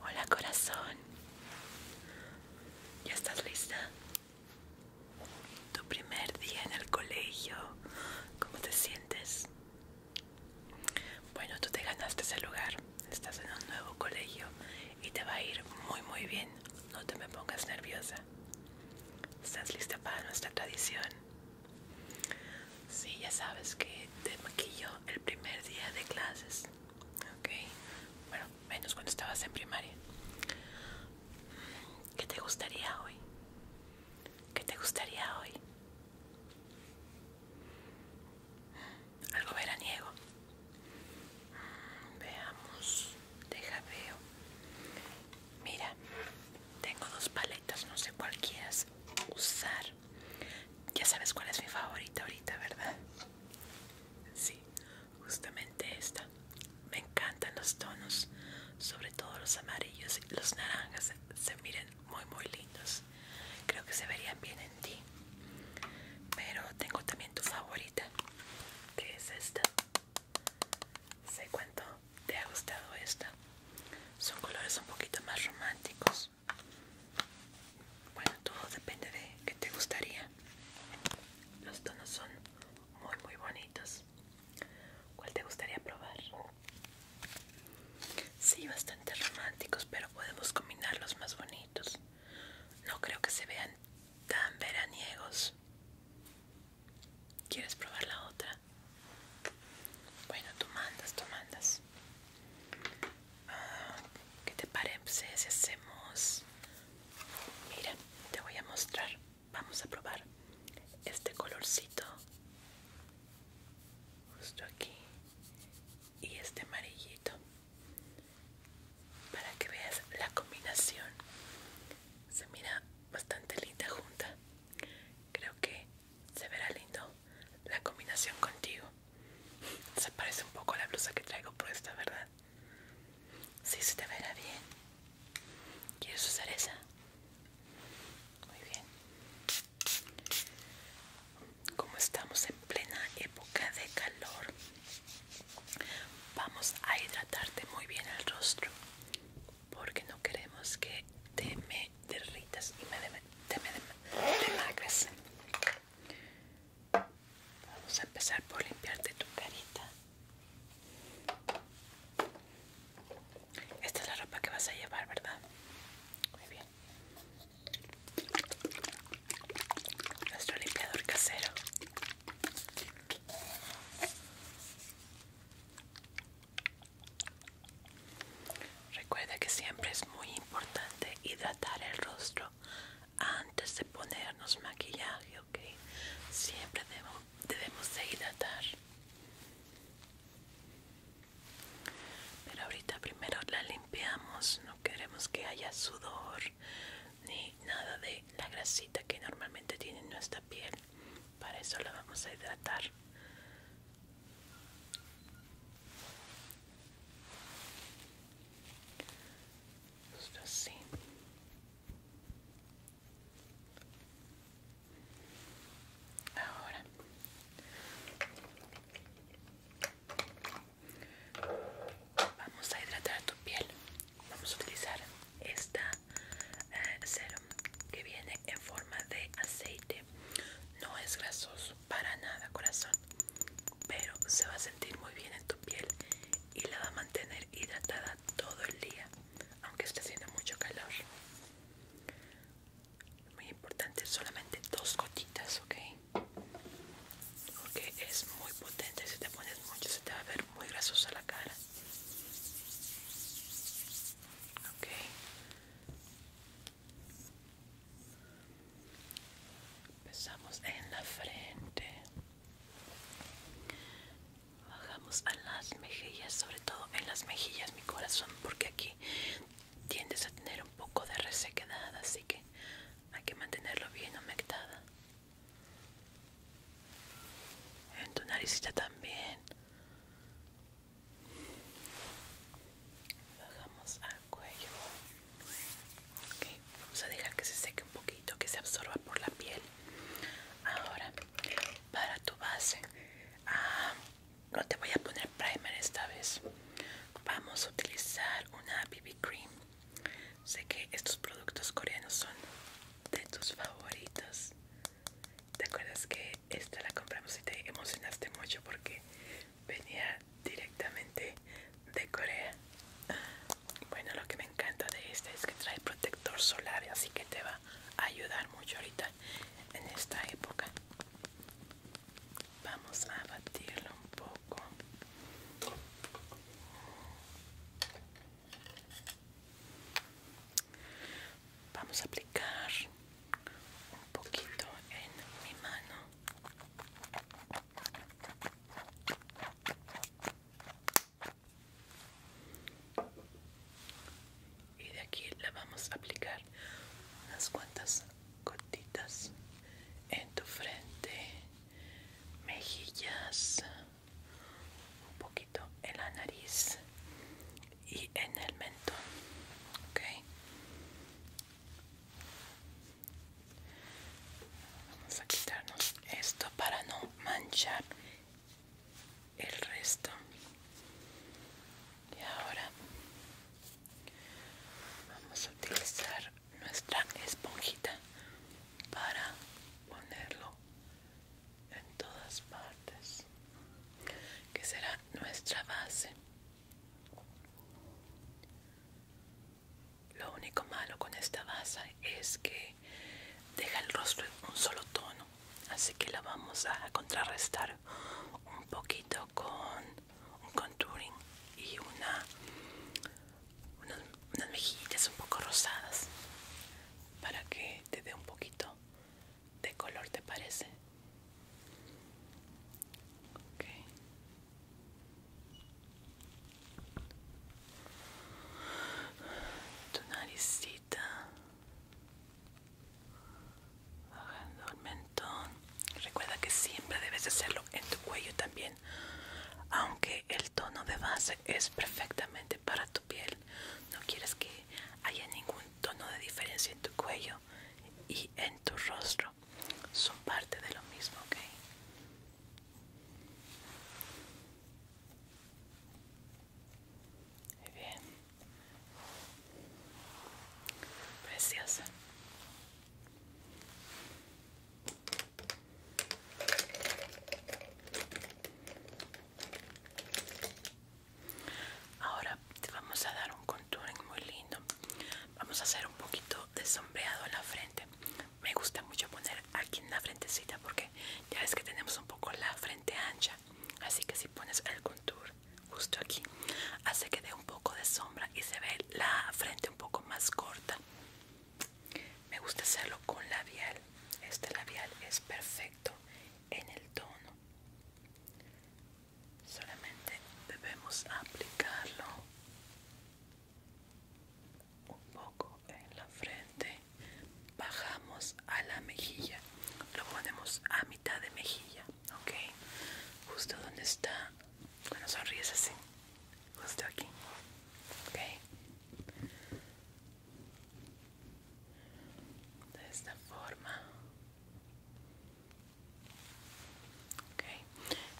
Hola corazón, ¿ya estás lista? Tu primer día en el colegio, ¿cómo te sientes? Bueno, tú te ganaste ese lugar, estás en un nuevo colegio y te va a ir muy muy bien, no te me pongas nerviosa. ¿Estás lista para nuestra tradición? Sí, ya sabes que te maquillo el primer día de clases. Ok, bueno, menos cuando estabas en primaria. Mm, ¿Qué te gustaría hoy? ¿Qué te gustaría hoy? Mm, algo veraniego. Mm, veamos, deja veo. Mira, tengo dos paletas, no sé cuál quieras usar. Ya sabes cuál es mi favorita ahorita, ¿verdad? Sí, justamente esta. Me encantan los tonos, sobre todo los amarillos y los naranjas. Se miren muy, muy lindos. Creo que se verían bien en ti. Pero tengo también tu favorita, que es esta. se cuento te ha gustado esta son colores un poquito más románticos bueno todo depende de qué te gustaría los tonos son muy muy bonitos cuál te gustaría probar Sí, bastante románticos, pero podemos combinar los más bonitos. No creo que se vean tan veraniegos. ¿Quieres probar la otra? Bueno, tú mandas, tú mandas. Ah, que te parece si hacemos? Mira, te voy a mostrar. Vamos a probar este colorcito justo aquí y este amarillito para que veas la combinación se mira bastante linda junta creo que se verá lindo la combinación contigo. Se parece un poco a la blusa que traigo puesta, ¿verdad? Sí, se te verá bien. ¿Quieres usar esa? Muy bien. Como estamos en plena época de calor, vamos a hidratarte muy bien el rostro porque no queremos que te me derritas y me te me demagres. Vamos a empezar por limpiarte tu carita. Esta es la ropa que vas a llevar, ¿verdad? Muy bien. Nuestro limpiador casero. Recuerda que siempre es muy importante hidratar el rostro antes de ponernos maquillaje, ¿ok? Siempre debemos, debemos de hidratar. Pero ahorita primero la limpiamos, no queremos que haya sudor ni nada de la grasita que normalmente tiene nuestra piel. Para eso la vamos a hidratar Ahora vamos a hidratar tu piel. Vamos a utilizar esta serum eh, que viene en forma de aceite no es grasoso para nada corazón pero se va a sentir muy bien en tu piel y la va a mantener hidratada todo el día aunque esté haciendo mucho calor muy importante solamente dos gotitas ok porque es muy potente si te pones mucho se te va a ver muy grasosa la cara Ok. Empezamos en la frente. Bajamos a las mejillas, sobre todo en las mejillas, mi corazón, porque aquí tiendes a tener un poco de resequedad, así que hay que mantenerlo bien humectada. En tu naricita también. Bajamos al cuello. Vamos a dejar que se seque un poquito, que se absorba por la piel. Ahora, para tu base, ah, no te voy a poner primer esta vez. Vamos a utilizar una BB cream. Sé que estos productos coreanos son de tus favoritos. ¿Te acuerdas que esta la compramos y te emocionaste mucho porque venía directamente de Corea? Bueno, lo que me encanta de esta es que trae protector solar, así que te va a ayudar mucho ahorita en esta época. Vamos a batirlo un poco. Vamos a aplicar un poquito en mi mano. Y de aquí la vamos a aplicar unas cuantas gotitas en tu frente, mejillas, un poquito en la nariz y en el mentón. Ok. Vamos a quitarnos esto para no manchar el resto. Y ahora vamos a utilizar nuestra esponjita para ponerlo en todas partes, que será nuestra base. Lo único malo con esta base es que deja el rostro en un solo tono, así que la vamos a contrarrestar un poquito con un contouring y una, unas, unas mejillas un poco rosadas para que te dé un poquito de color te parece tu naricita bajando el mentón recuerda que siempre debes hacerlo en tu cuello también aunque el tono de base es perfectamente para tu piel no quieres que hay ningún tono de diferencia en tu cuello y en tu rostro. Son parte de lo mismo, ¿ok? bien. Preciosa. Ahora te vamos a dar un contour muy lindo. Vamos a hacer un poquito de sombreado en la frente. Me gusta mucho poner aquí en la frentecita porque ya ves que tenemos un poco la frente ancha. Así que si pones el contour justo aquí, hace que dé un poco de sombra y se ve la frente un poco más corta. Me gusta hacerlo con labial. Este labial es perfecto en el tono solamente debemos aplicarlo un poco en la frente bajamos a la mejilla lo ponemos a mitad de mejilla ok justo donde está cuando sonríes así justo aquí ok de esta forma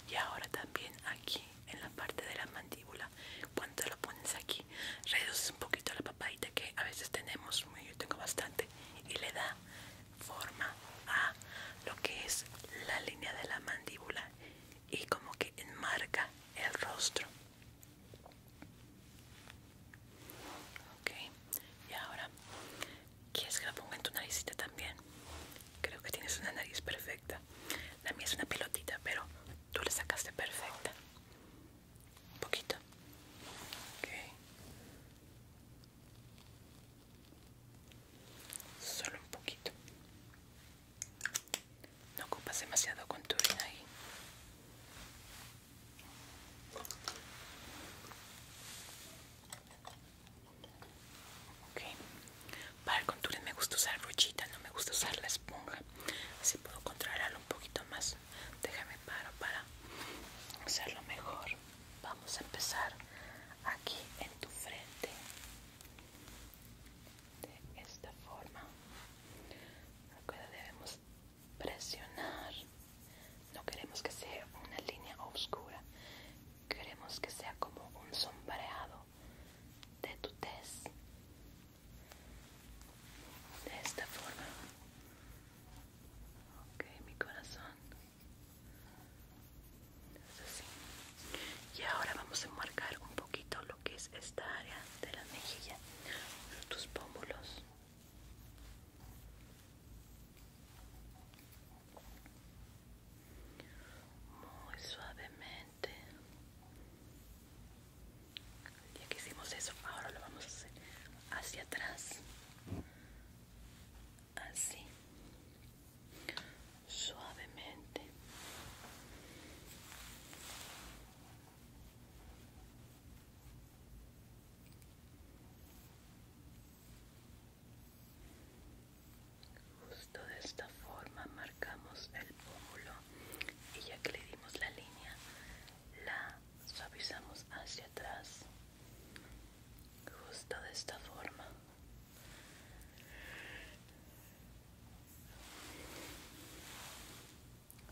y ahora también aquí en la parte de la mandíbula cuando lo pones aquí reduces un poquito la papadita que a veces tenemos yo tengo bastante y le da forma a lo que es la línea de la mandíbula y como que enmarca el rostro Ok, y ahora, ¿quieres que la ponga en tu naricita también? Creo que tienes una nariz perfecta. La mía es una pelotita, pero tú la sacaste perfecta. Un poquito. Ok. Solo un poquito. No ocupas demasiado con contorno ahí. Ok, para el contorno me gusta usar brochita, no me gusta usar la esponja. Así puedo controlarlo un poquito más. Déjame paro para hacerlo mejor. Vamos a empezar aquí en tu frente. De esta forma. Recuerda, debemos presionar. No queremos que sea una línea oscura. Queremos que sea como un sombreado de tu tez. De esta forma. Ok, mi corazón. Es así. Y ahora vamos a marcar un poquito que es esta área de la mejilla, tus pómulos. Muy suavemente. Ya que hicimos eso, ahora lo vamos a hacer hacia atrás. Así. Suavemente. Justo de esta forma marcamos el pómulo y ya que le dimos la línea, la suavizamos hacia atrás. Justo de esta forma.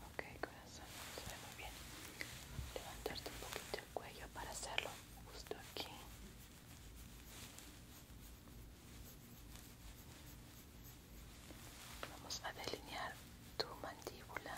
Ok, corazón, se ve muy bien. Levantarte un poquito el cuello para hacerlo justo aquí. Vamos a delinear tu mandíbula.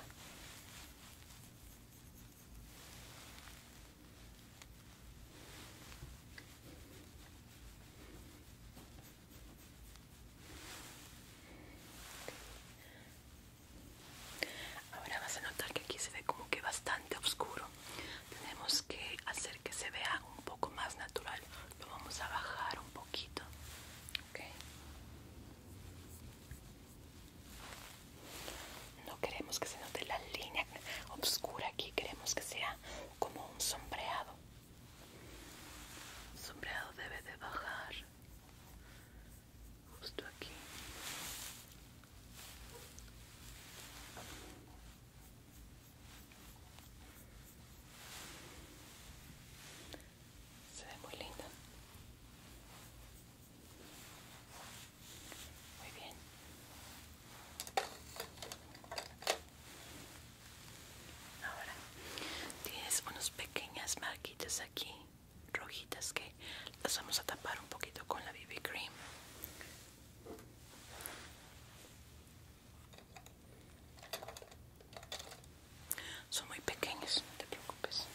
Ahora vas a notar que aquí se ve como que bastante oscuro. Tenemos que hacer que se vea un poco más natural. Lo vamos a bajar un poquito. No queremos que se note la línea oscura aquí. Queremos que sea como un sombreado sombreado debe de bajar justo aquí se ve muy lindo. muy bien Ahora tienes unas pequeñas marquitas aquí, rojitas, que las vamos a tapar un poquito con la BB Cream. Son muy pequeñas, no te preocupes.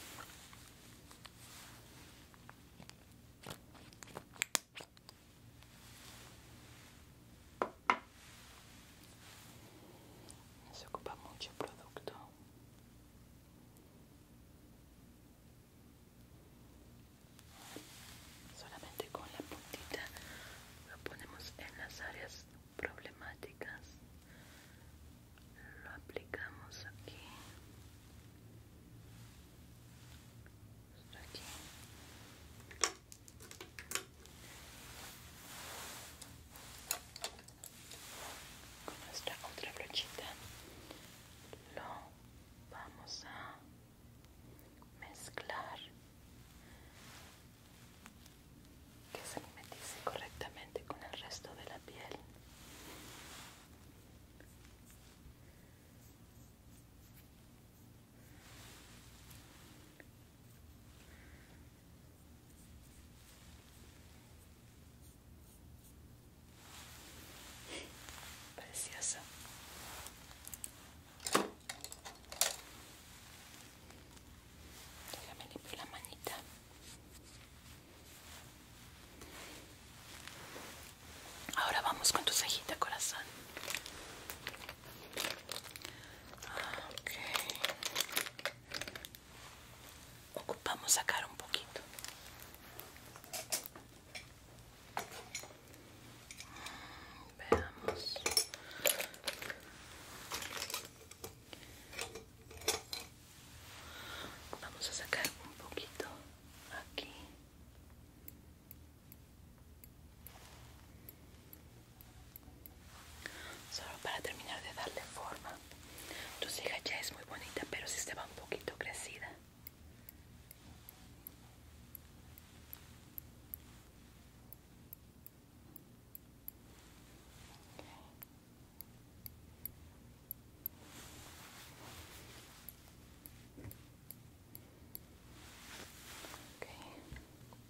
No se ocupa mucho producto. Solamente con la puntita lo ponemos en las áreas problemáticas. Lo aplicamos aquí. Aquí con nuestra otra brochita lo vamos a mezclar que se mimetice correctamente con el resto de la piel Preciosa. Déjame limpiar la manita. Ahora vamos con tu cejita, corazón. Ok. Ocupamos sacar un poquito. Veamos. Vamos a sacar un poquito aquí. Solo para terminar de darle forma. Tu ceja ya es muy bonita, pero si sí estaba un poquito crecida.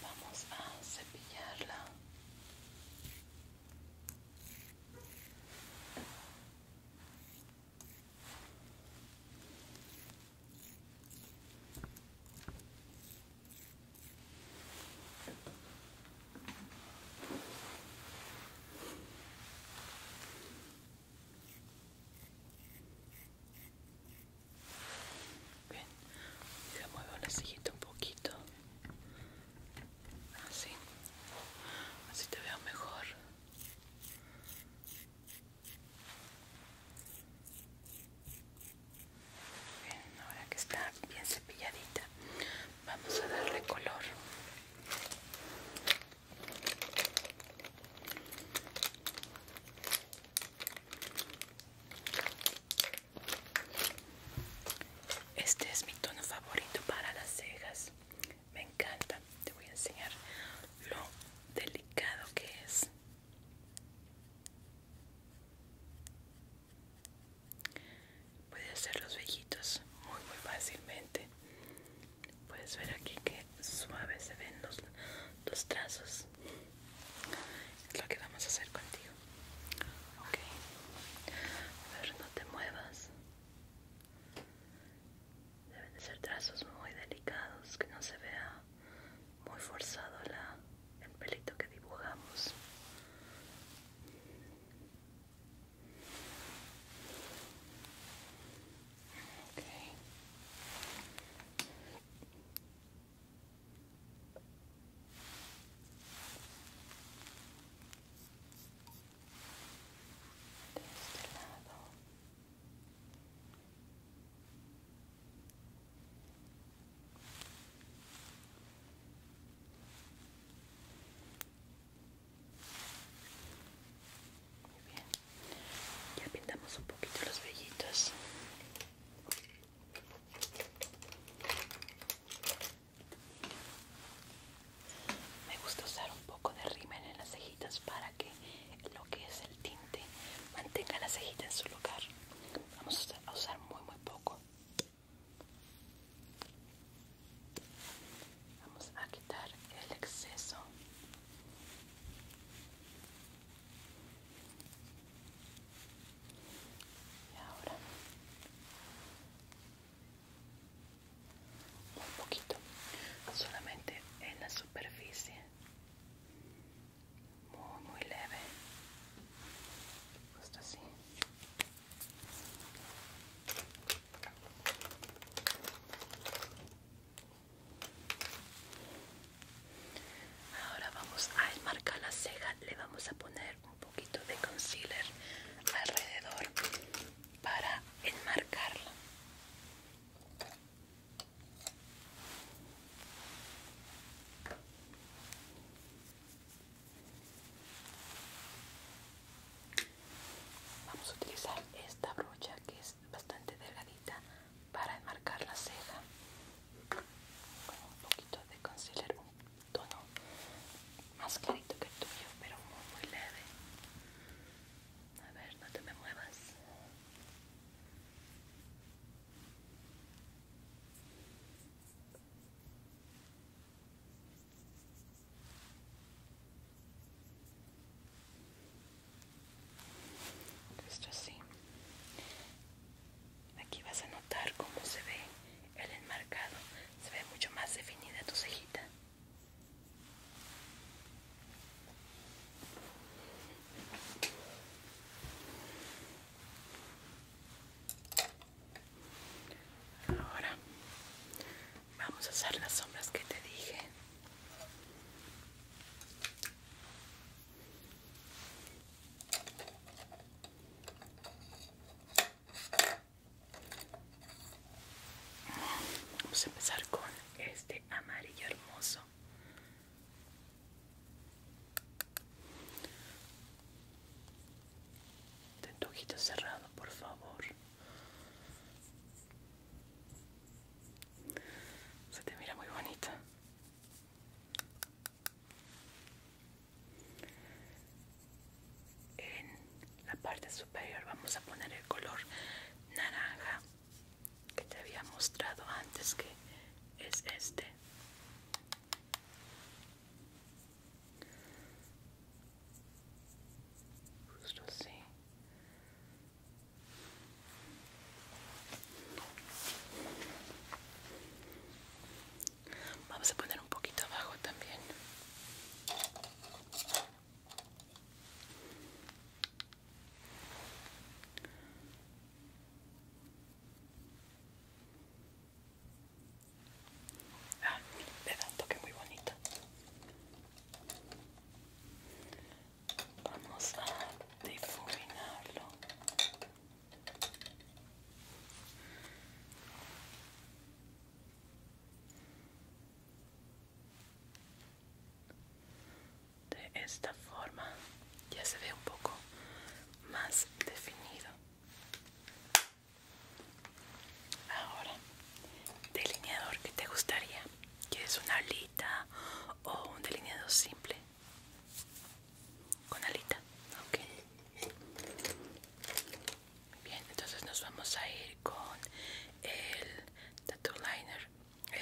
vamos a cepillarla le muevo la sillita un poquito así así te veo mejor bien ahora que está bien cepilladita vamos a darle color este es mi tono favorito para las cejas. Me encanta. Te voy a enseñar lo delicado que es. Puedes hacer los vellitos muy muy fácilmente. Puedes ver aquí que suaves se ven los, los trazos es lo que vamos a hacer contigo okay, a ver no te muevas deben de ser trazos muy delicados que no se vea muy forzado la, el pelito que dibujamos Okay de este lado muy bien ya pintamos un poquito los vellitos me gusta usar un poco de rímel en las cejitas para que lo que es el tinte mantenga la cejitas en su lugar. Vamos a usar muy muy poco. Vamos a quitar el exceso y ahora un poquito solamente en la superficie muy muy leve justo así Ahora vamos a enmarcar la ceja, le vamos a poner un poquito de concealer alrededor para enmarcarla. Vamos a utilizar esta brocha que es bastante delgadita para enmarcar la ceja con un poquito de concealer, un tono más clarito que el tuyo, pero muy, muy leve. A ver, no te me muevas. Esto así. Aquí vas a notar cómo se ve el enmarcado, se ve mucho más definida tu cejita. Ahora vamos a hacer las sombras que te dije. Vamos a empezar con este amarillo hermoso. Ten cerrado, por favor. Se te mira muy bonita en la parte superior vamos a poner el color naranja que te había mostrado antes que es este justo así Vamos a poner un poquito abajo también. Ah, da un toque muy bonito. Vamos a difuminarlo de esta forma ya se ve un poco más definido. Ahora, delineador que te gustaría, ¿quieres una alita o un delineado simple? con alita ok bien entonces nos vamos a ir con el tattoo liner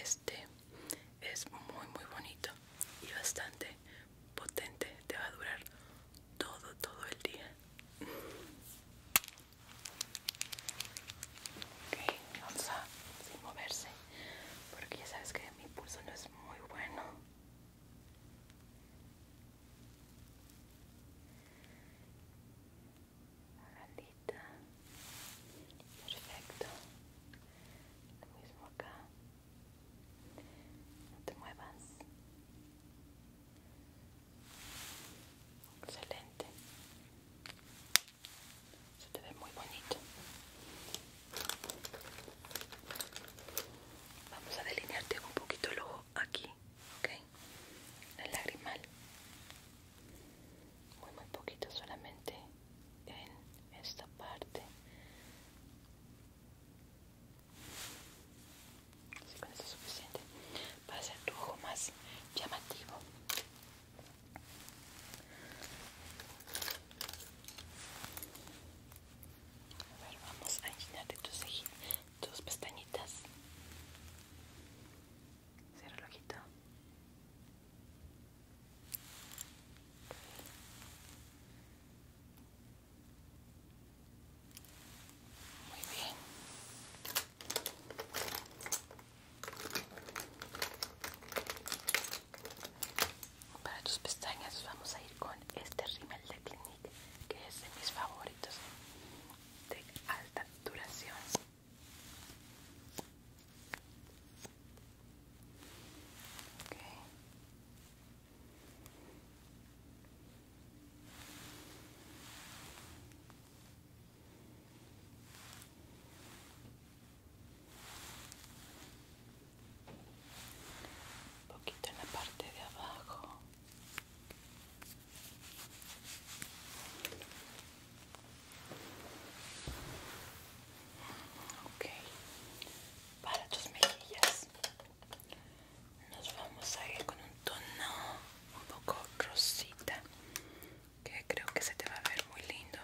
este es muy muy bonito y bastante potente te va a durar todo todo el día ok vamos a sin moverse porque ya sabes que mi pulso no es muy bueno Perfecto. Lo mismo acá. No te muevas. Excelente. Se te ve muy bonito. Vamos a delinearte un poquito el ojo aquí, ¿ok? El lagrimal. Muy, muy poquito, solamente en esta parte. Así con eso es suficiente para hacer tu ojo más llamativo. A ver, vamos a llenar tus, tus pestañitas. Cierra el ojito. Muy bien. Para tus pestañas vamos a ir con este rímel de Clinique que es de mis favoritos de alta duración un poquito en la parte de abajo ok para tus mejillas nos vamos a ir con un tono un poco rosita que creo que se te va a ver muy lindo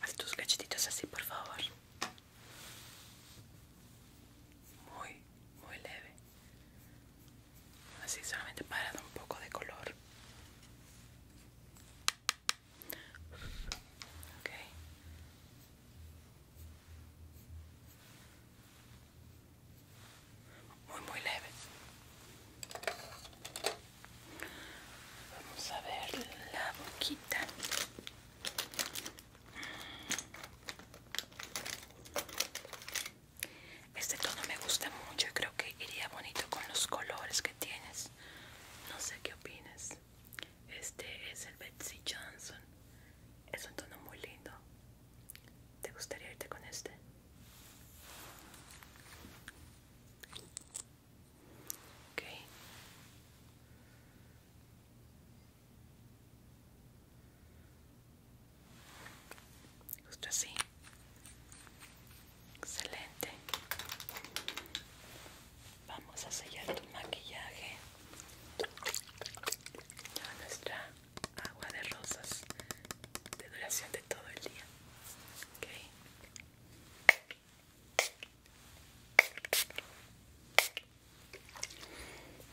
Haz tus cachetitos así, por favor. Muy, muy leve. Así, solamente para dar un poco de color. Muy, muy leve. Vamos a ver la boquita. Este tono me gusta mucho creo que iría bonito con los colores que tienes. No sé qué opinas. Este es el Betsy Johnson. Es un tono muy lindo. ¿Te gustaría irte con este? Justo así. Excelente. Vamos a sellar tu maquillaje con nuestra agua de rosas de duración de todo el día. ¿Okay?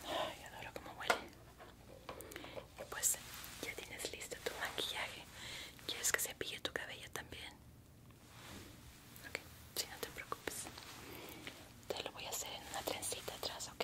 Ay, adoro cómo huele. Y pues ya tienes listo tu maquillaje. ¿Quieres que se pille tu cabello también? Ok, si no te preocupes. Te lo voy a hacer en una trencita atrás, ¿ok?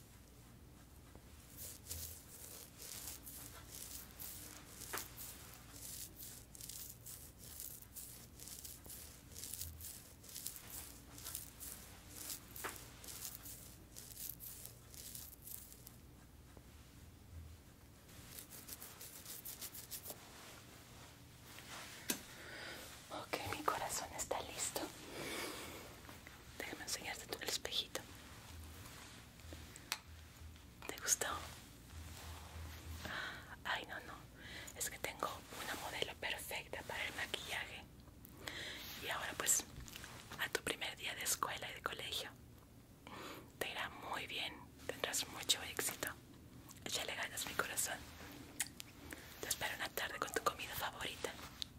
Ok, mi corazón está listo. Déjame enseñarte tú el espejito. ¿Te gustó? Ay, no, no. Es que tengo una modelo perfecta para el maquillaje. Y ahora pues a tu primer día de escuela y de colegio. Te irá muy bien. Tendrás mucho éxito. Ya le ganas mi corazón. Te espero una tarde con tu comida favorita.